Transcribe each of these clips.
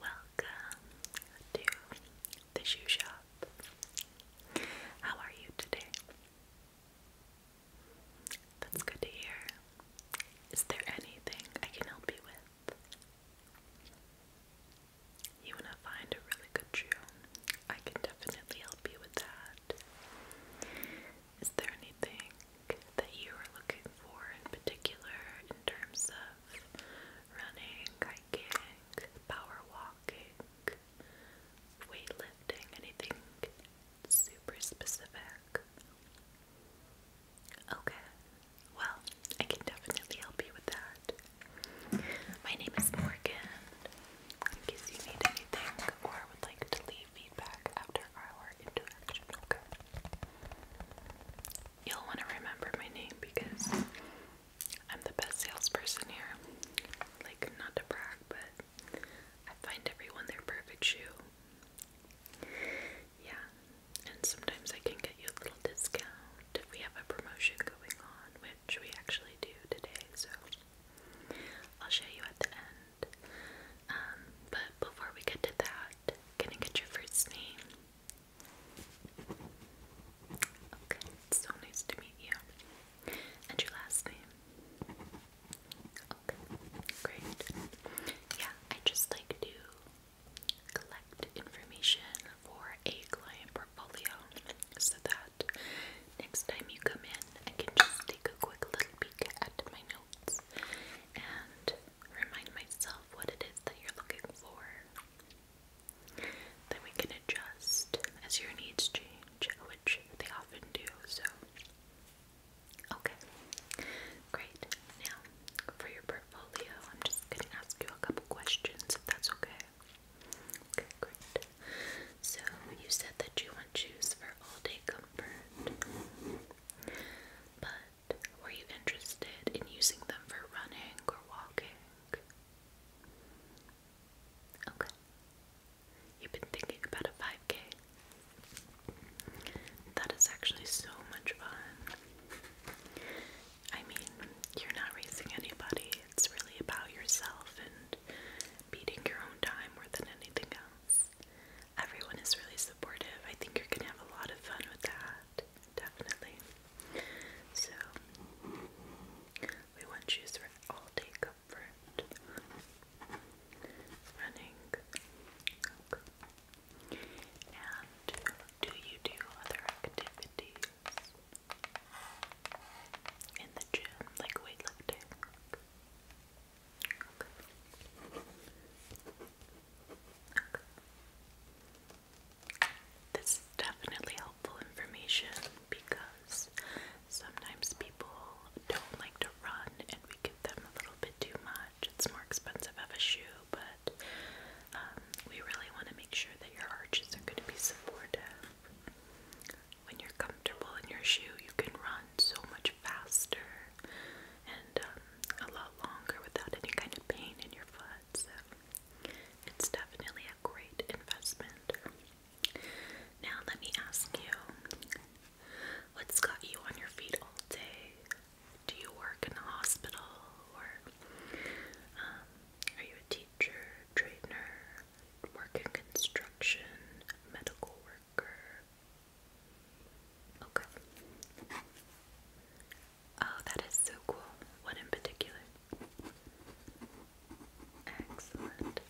Welcome to the shoe shop. How are you today? That's good to hear. Is there anything I can help you with? You want to find a really good shoe? I can definitely help you with that. Is there anything that you are looking for in particular in terms of running, hiking, power walking, weightlifting, anything super specific? Okay, well, I can definitely help you with that. My name is Morgan. In case you need anything or would like to leave feedback after our interaction, okay? You'll want to remember my name because I'm the best salesperson here. Like, not to brag, but I find everyone their perfect shoe. Yeah, and sometimes I can get you a little discount if we have a promotion going on, which we actually do today, so I'll show you at the end that. Um, but before we get to that, can I get your first name? Okay, so nice to meet you. And your last name? Okay, great. Yeah, I just like to collect information for a client portfolio so that next time you come in, I can just take a quick little peek at my notes and remind myself what it is that you're looking for. Then we can adjust as your needs change, which they often do, so. Okay, great. Now, for your portfolio, I'm just going to ask you a couple questions if that's okay. Okay, great. So you said that you want shoes for all day comfort. But were you interested in using them for running or walking? Okay. You've been thinking about a 5k. That is actually so much fun. I mean, you're not racing anybody, it's really about yourself and beating your own time more than anything else. Everyone is really supportive. I think you're gonna have a lot of fun with that, definitely. So, we want shoes for all day comfort. Running. And do you do other activities? In the gym, like weightlifting. Okay. Okay. This is definitely helpful information because sometimes people don't like to run and we give them a little bit too much. It's more expensive of a shoe, but um, we really want to make sure that your arches are going to be supportive when you're comfortable in your shoe, you can run so much faster and um, a lot longer without any kind of pain in your foot. So it's definitely a great investment. Now, let me ask you what's got you on your feet all day? Do you work in a hospital or um, are you a teacher, trainer, work in construction, medical worker. Okay. Oh, that is so cool. What in particular? Excellent.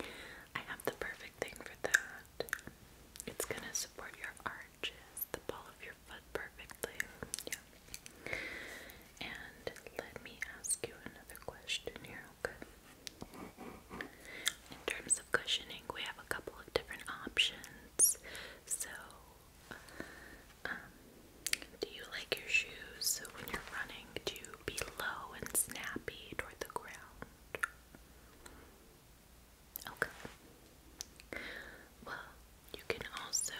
I have the perfect thing for that. It's gonna support your arches, the ball of your foot perfectly. Yeah. And let me ask you another question here, okay? In terms of cushioning, we have a couple of different options. So, um, do you like your shoes so when you're running to be low and snappy toward the ground? Okay. Well, you can also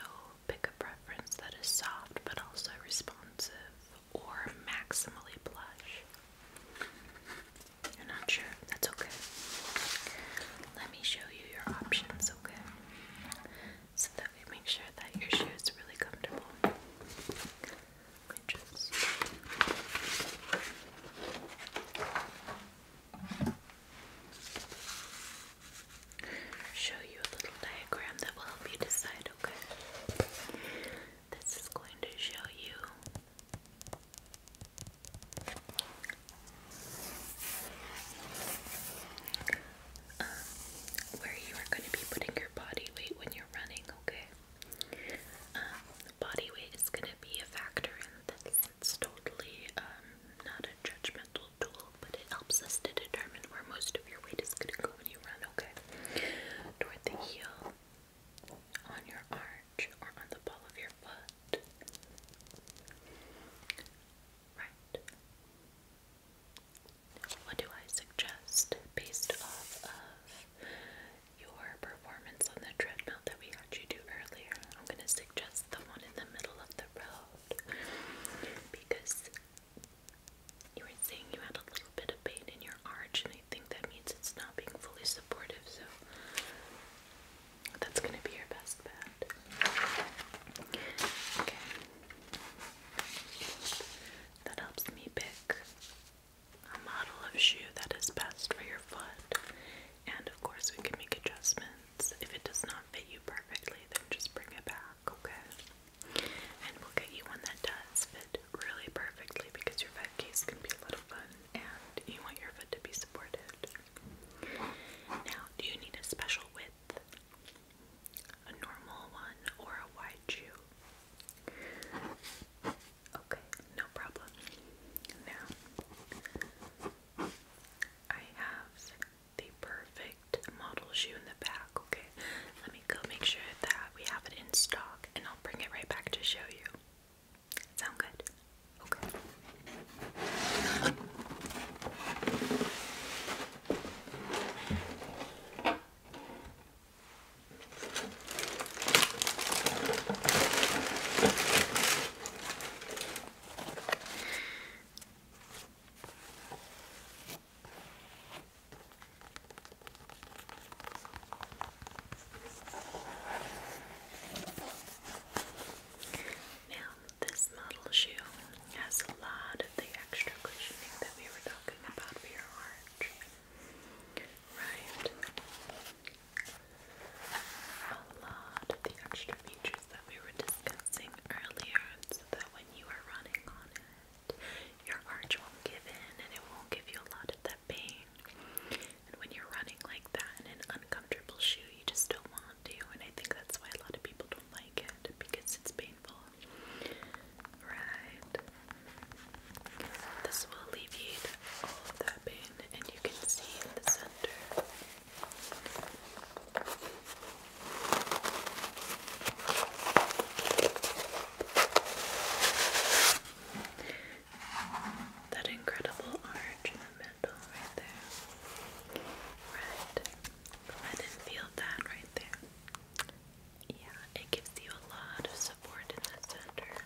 pick a preference that is soft but also responsive or maximally plush. You're not sure? That's okay. Let me show you your options, okay? So that we make sure that your shoe is really comfortable. Just show you a little diagram that will help you decide, okay? This is going to show you um, where you are going to be putting your body weight when you're running, okay? Um, body weight is going to be a factor in this. It's totally um, not a judgment tool, but it helps us to determine where most of your weight is going to go when you run, okay? Toward the heel, on your arch, or on the ball of your foot. Right. What do I suggest based off of your performance on the treadmill that we had you do earlier? I'm going to suggest the one in the middle of the road because you were saying you had a little bit of pain in your arch, and I think that means it's not being fully supportive, so that's gonna be your best bet. Okay. That helps me pick a model of shoe that is best for your foot. And of course, we can make adjustments. If it does not fit you perfectly, then just bring it back, okay? And we'll get you one that does fit really perfectly because your foot case can be a little fun and you want your foot to be supported. Now, do you need a special width? A normal one or a wide shoe? Okay, no problem. Now, I have the perfect model shoe in the back. Okay, let me go make sure that we have it in stock and I'll bring it right back to show you. Sound good? Okay. Now, this model shoe has a lot of the extra cushioning that we were talking about for your arch. Right? a lot of the extra features that we were discussing earlier so that when you are running on it, your arch won't give in and it won't give you a lot of that pain. And when you're running like that in an uncomfortable shoe, you just don't want to. And I think that's why a lot of people don't like it because it's painful. Right? This will alleviate all of that pain, and you can see in the center that incredible arch in the middle right there. Right. I didn't feel that right there. Yeah, it gives you a lot of support in the center.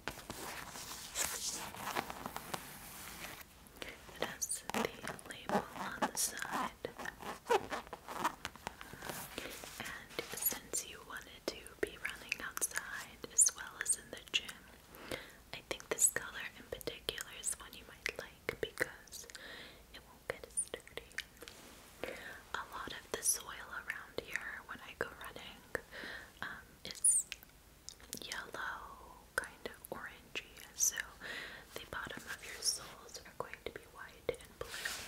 It has the label on the side. And since you wanted to be running outside as well as in the gym, I think this color in particular is one you might like because it won't get as dirty. A lot of the soil around here when I go running um, is yellow, kind of orangey, so the bottom of your soles are going to be white and blue.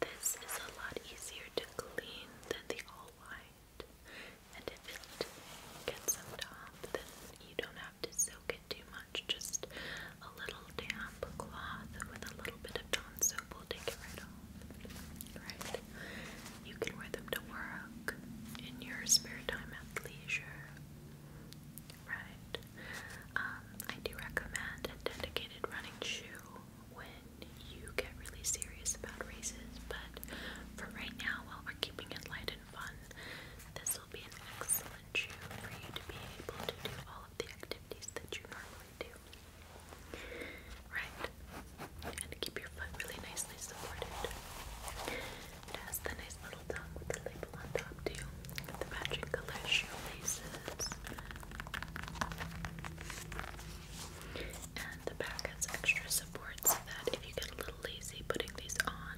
This is a lot easier to clean than the all white, and if it gets soaked off, then you don't have to soak it too much. Just a little damp cloth with a little bit of Dawn soap we'll take it right off. Right? You can wear them to work in your spare time at leisure. Right? Um, I do recommend a dedicated running shoe when you get really serious about races, but for right now, while we're keeping it light and fun, this will be an excellent shoe for you to be able to do all of the activities that you normally do. Right. And keep your foot really nicely supported. It has the nice little tongue with the label on top too. the matching color shoelaces. And the back has extra support so that if you get a little lazy putting these on,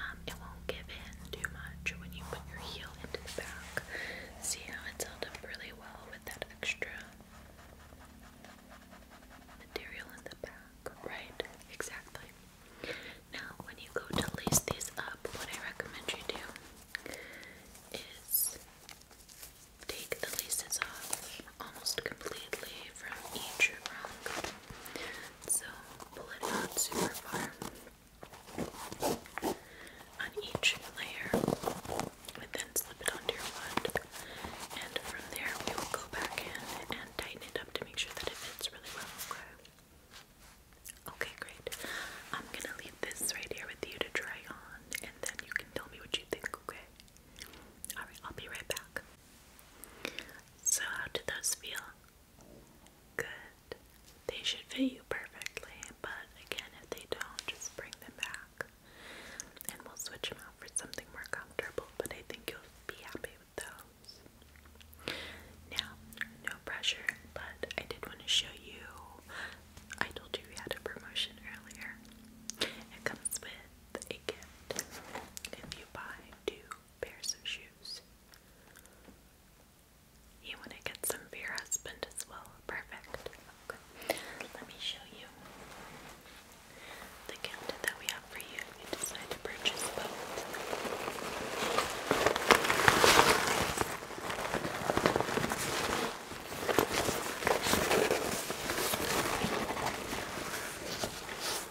um, it won't give in too much when you put your heel into the back. See how it's held up really well with that extra material in the back, right? Exactly. Now, when you go to lace these up, what I recommend you do is take the laces off almost completely from each rung. So, pull it out super far on each layer and then slip it onto your foot, And from there, we will go back in and tighten it up to make sure that it fits really well. Okay. Okay, great. I'm gonna leave this right here with you to try on, and then you can tell me what you think. Okay. All right. I'll be right back. So, how did those feel? Good. They should fit you perfectly, but again, if they don't, just bring them back and we'll switch them out for something more comfortable. But I think you'll be happy with those. Now, no pressure, but I did want to show you. I told you we had a promotion earlier. It comes with a gift if you buy two pairs of shoes. You want to get some for your husband as well? Perfect. Let me show you the gift that we have for you if you decide to purchase both.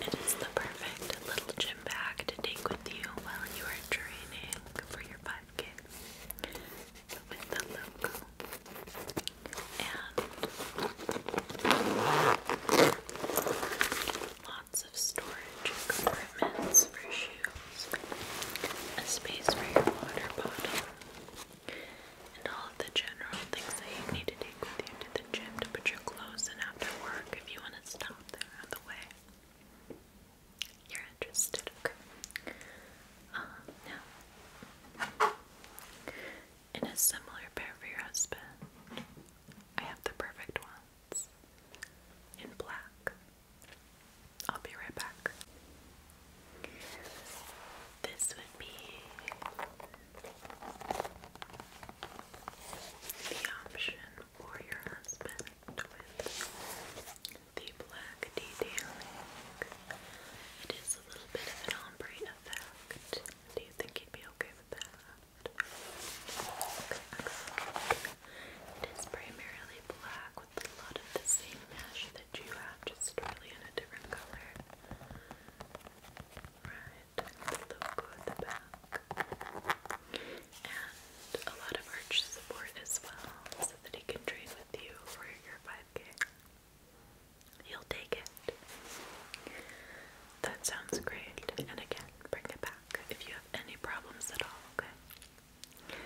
It is the perfect little gym bag to take with you while you are training for your 5 napkin with the logo and lots of storage compartments for shoes, a space for your water bottle, and all of the general things that you need to take with you to the gym to put your clothes in after work if you want to stop there on the way. You're interested, uh, now, in a similar pair for your husband, I have the perfect ones in black. I'll be right back. This would be the option or your husband with the black detailing. It is a little bit of an ombre effect. Do you think you'd be okay with that? It is primarily black with a lot of the same mesh that you have, just really in a different color. Right, the logo at the back and a lot of arch support as well, so that he can train with you for your 5k. He'll take it. That sounds great. And again, bring it back if you have any problems at all, okay?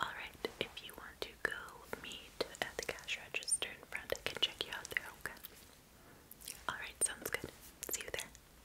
Alright, if you want to go meet at the cash register in front, I can check you out there, okay? Alright, sounds good. See you there.